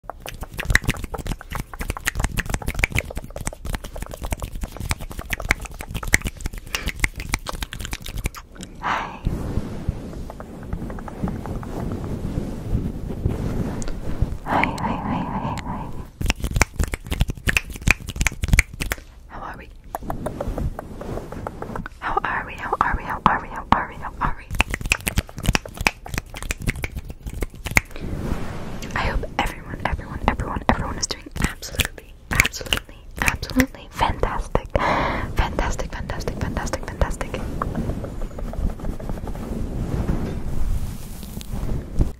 Hi. Hi, hi, hi, hi, hi. How are we? How are we? How are we? How are we? How are we? How are we? I hope everyone, everyone, everyone, everyone is doing absolutely, absolutely, absolutely fantastic. Fantastic, fantastic, fantastic, fantastic.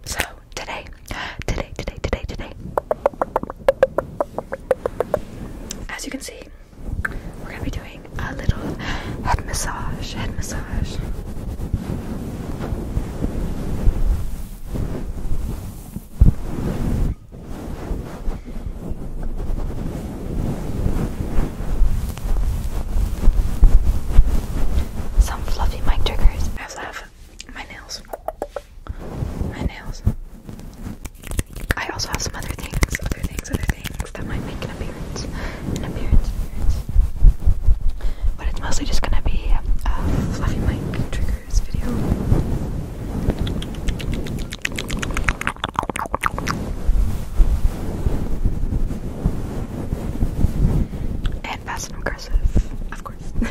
So, today, today, today, today, today. As you can see, we're gonna be doing a little head massage, head massage. Some fluffy mic I also have my nails. My nails. I also have some other things, other things, other things that might make an appearance, but it's mostly just gonna be um, Fluffy Mike triggers video. And fast and aggressive, of course.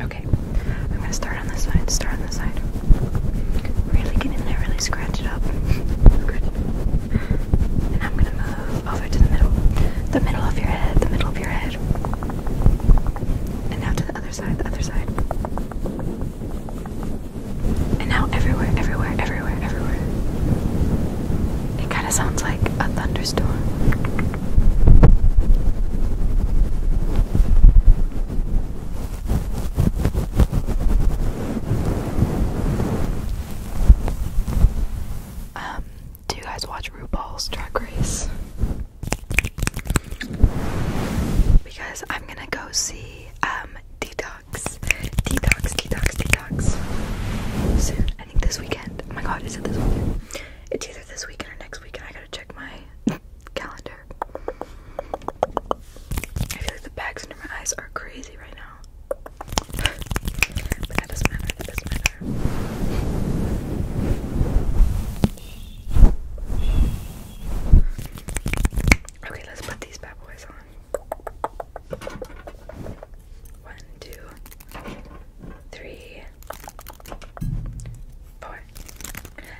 Okay, I'm gonna start on this side. Start on this side. Really get in there, really scratch it up. Scratch And I'm gonna move over to the middle. The middle of your head, the middle of your head. And now to the other side, the other side. And now everywhere, everywhere, everywhere, everywhere. It kind of sounds like a thunderstorm. Um, do you guys watch RuPaul's Drag Race? Because I'm gonna go see um, detox. Detox, detox, detox. Soon. I think this weekend. Oh my god, is it this weekend? It's either this weekend or next weekend. I gotta check my calendar. I feel like the bags under my eyes are crazy right now. but that doesn't matter, that doesn't matter. Okay, let's put these bad boys on. One, two, three, four.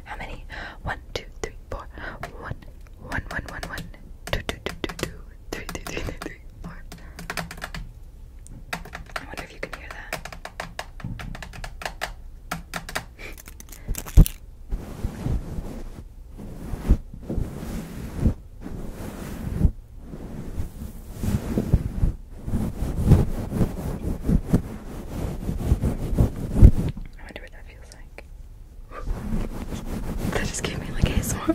How many? One, two, three, four. One, one, one, one, one. Two, two, two, two, two. Three, three, three, three, three, four. I wonder if you can hear that. I wonder what that feels like. that just gave me like a ASMR.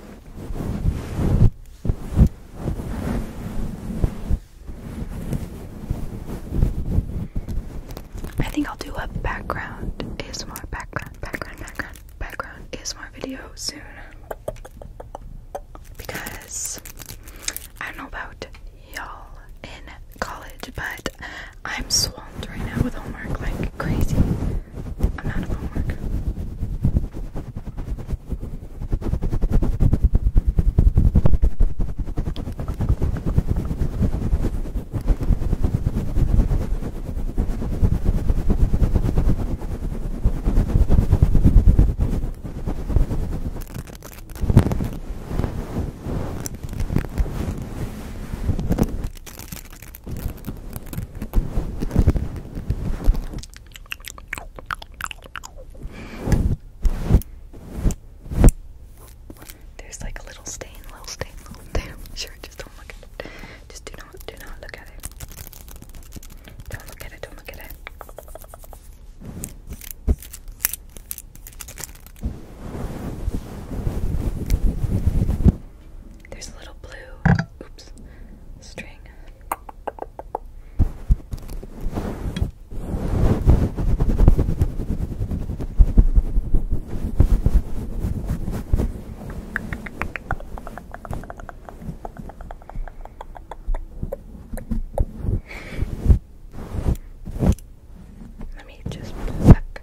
I think I'll do a background ASMR background background background background ASMR video soon because I don't know about y'all in college but I'm swamped right now with homework like crazy I'm out of homework. There's like a little stain, little stain, little stain. Sure, just don't look at it. Just do not, do not look at it. Don't look at it, don't look at it. There's a little blue oops string. Let me just pluck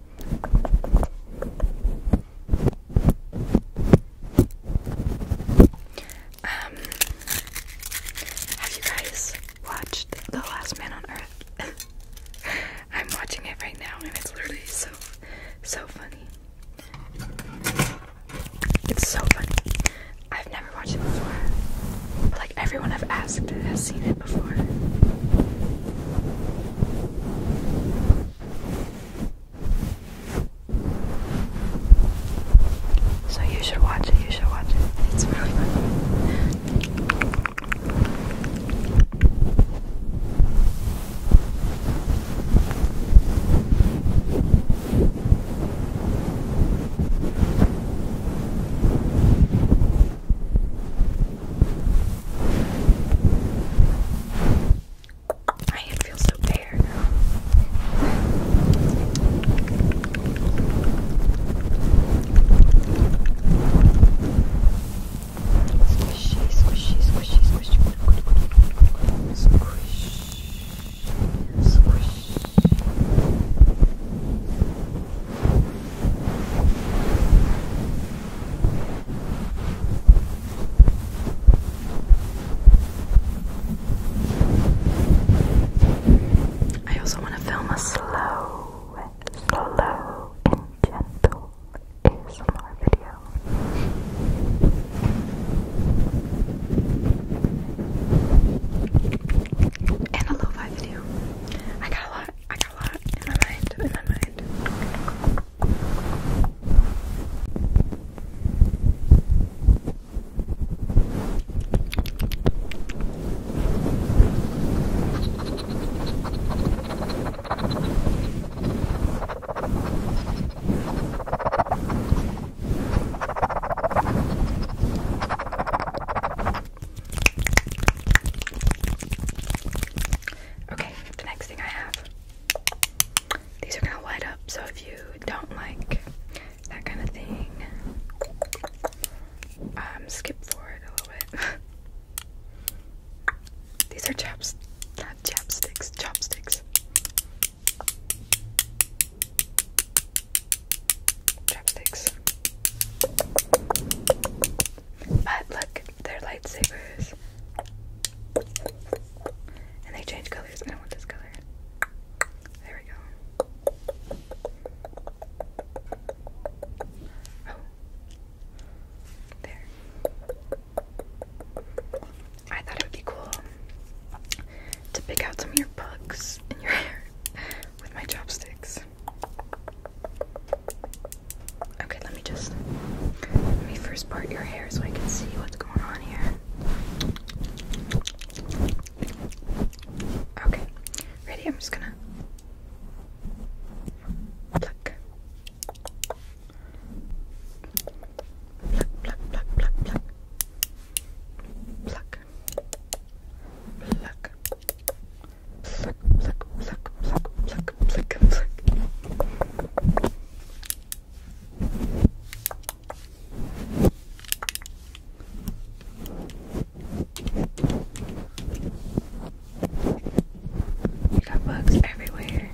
Um, have you guys watched The Last Man on Earth? I'm watching it right now, and it's literally so, so funny. It's so funny. I've never watched it before, but like everyone I've asked has seen it that So you should watch it, you should watch it. It's really fun. I feel so bare. Squishy, squishy, squishy, squishy, squish, squish. Squish, I also want to film a slow, slow and gentle ASMR video. And a lo-fi video. I got a lot a lot in my mind, in my mind. Okay, the next thing I have. These are gonna light up, so if you don't like that kind of thing, um, skip forward a little bit. These are chaps, not chapsticks, chopsticks. Chopsticks. But look, they're lightsabers. And they change colors. I don't want this color. There we go. Oh. There. I thought it would be cool to pick out some of your bugs in your hair with my chopsticks. Okay, let me just let me first part your hair so I can see what's going on here. Okay, ready? I'm just gonna pluck, pluck, pluck, pluck, pluck, pluck, pluck, Pluck, pluck, pluck, pluck, pluck, pluck, pluck. You got bugs everywhere.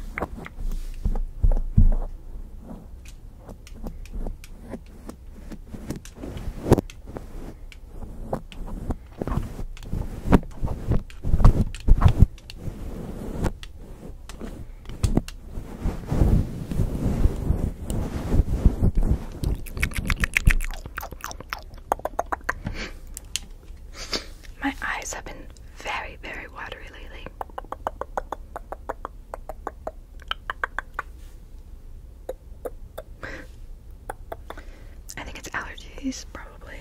My eyes have been very, very watery lately. I think it's allergies, probably.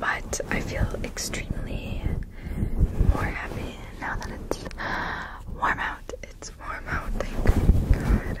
But I feel extremely more happy now that it's warm out. It's warm out, thank God.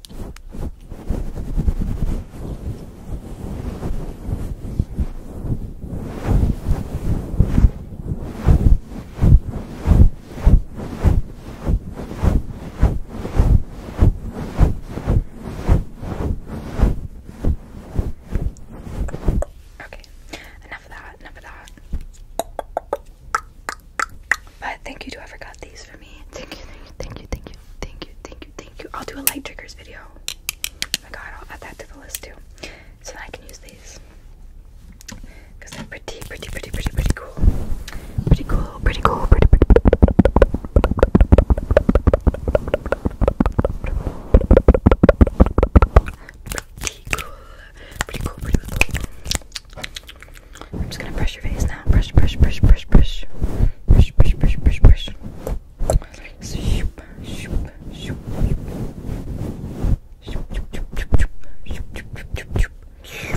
Okay, enough of that, enough of that. But thank you to whoever got these for me. Thank you, thank you, thank you, thank you, thank you, thank thank you, I'll do a light triggers video. Oh my god, I'll add that to the list too. So I can use these. Because they're pretty, pretty, pretty, pretty, pretty cool. Pretty cool, pretty cool, pretty, pretty. Pretty cool, pretty cool, pretty cool. I'm just gonna brush your face now. Brush, brush, brush, brush, brush. Brush, brush, brush, brush, brush. Shoop, shoop, shoop. Shoop, shoop, shoop, shoop, shoop, shoop, shoop, shoop. Shoop, shoop, shoop, shoop, shoop, shoop. Shh.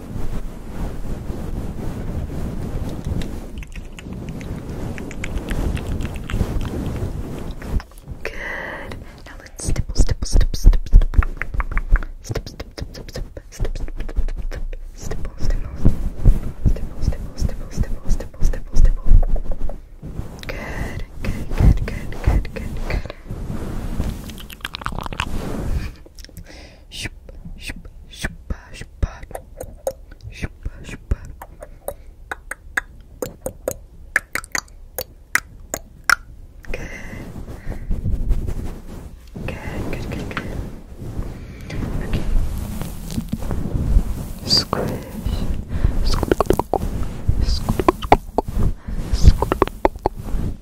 Good. Now let's stipple, stipple, stipple, stipple, stipple, stipple, stipple, stipple, stipple, stipple, stipple, stipple, stipple, stipple, stipple, stipple. Good, good, good, good, good, good, good. Good. Good, good, good, good. Okay. Squish. Squish. Squish. Squish.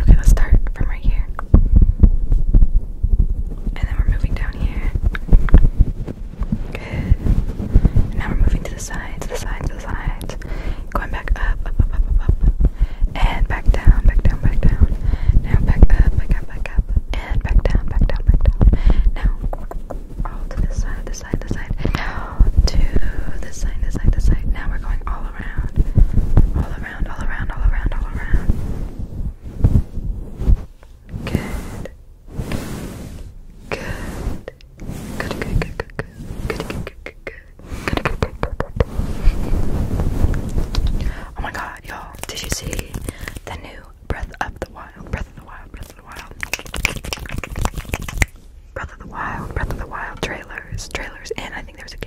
Okay, let's start from right here. And then we're moving down here. Good. now we're moving to the side, the side, the side. Going back up, up, up, up, up, And back down, back down, back down. Now back up, back up, back up. And back down, back down, back down. Now all to this side, this side, this side. Now to this side, this side, this side. Now we're going all around, all around around, all around, all around, all around. Good. Good. Good, good, good, good, good. Good, good, good, good, good. Good, good, good, good, good. Oh my god, y'all. Did you see the new Breath of the Wild? Breath of the Wild, Breath of the Wild. Breath of the Wild, Breath of the Wild trailers, trailers, and I think there was a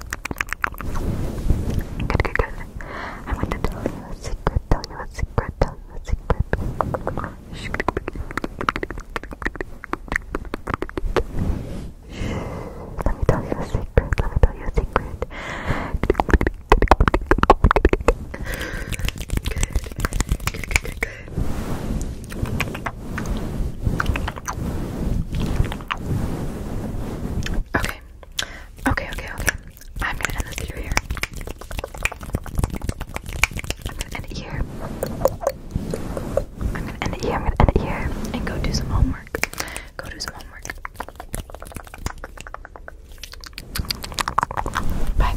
Good, good, good. I'm going to tell you a secret, tell you a secret, tell you a secret. Let me tell you a secret, let me tell you a secret. Good, good, good, good. Okay, Okay, okay, okay. I'm gonna end this video here. I'm gonna end it here. I'm gonna end it here. I'm gonna end it here and go do some homework. Go do some homework. Bye.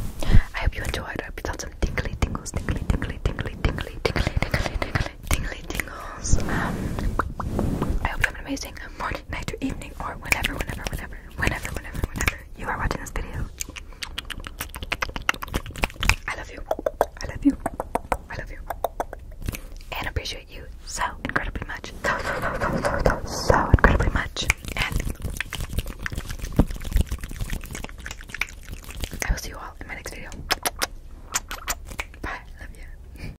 I hope you enjoyed. I hope you got some tingly tingles, tingly, tingly, tingly, tingly, tingly, tingly, tingly, tingly tingles. Um, I hope you have an amazing morning, night, or evening, or whenever, whenever, whenever, whenever, whenever, whenever you are watching this video. I love you. I love you. I love you. And appreciate you so incredibly much. So, so, so, so, so, so, so incredibly much. And I will see you all in my next video. Bye. I love you.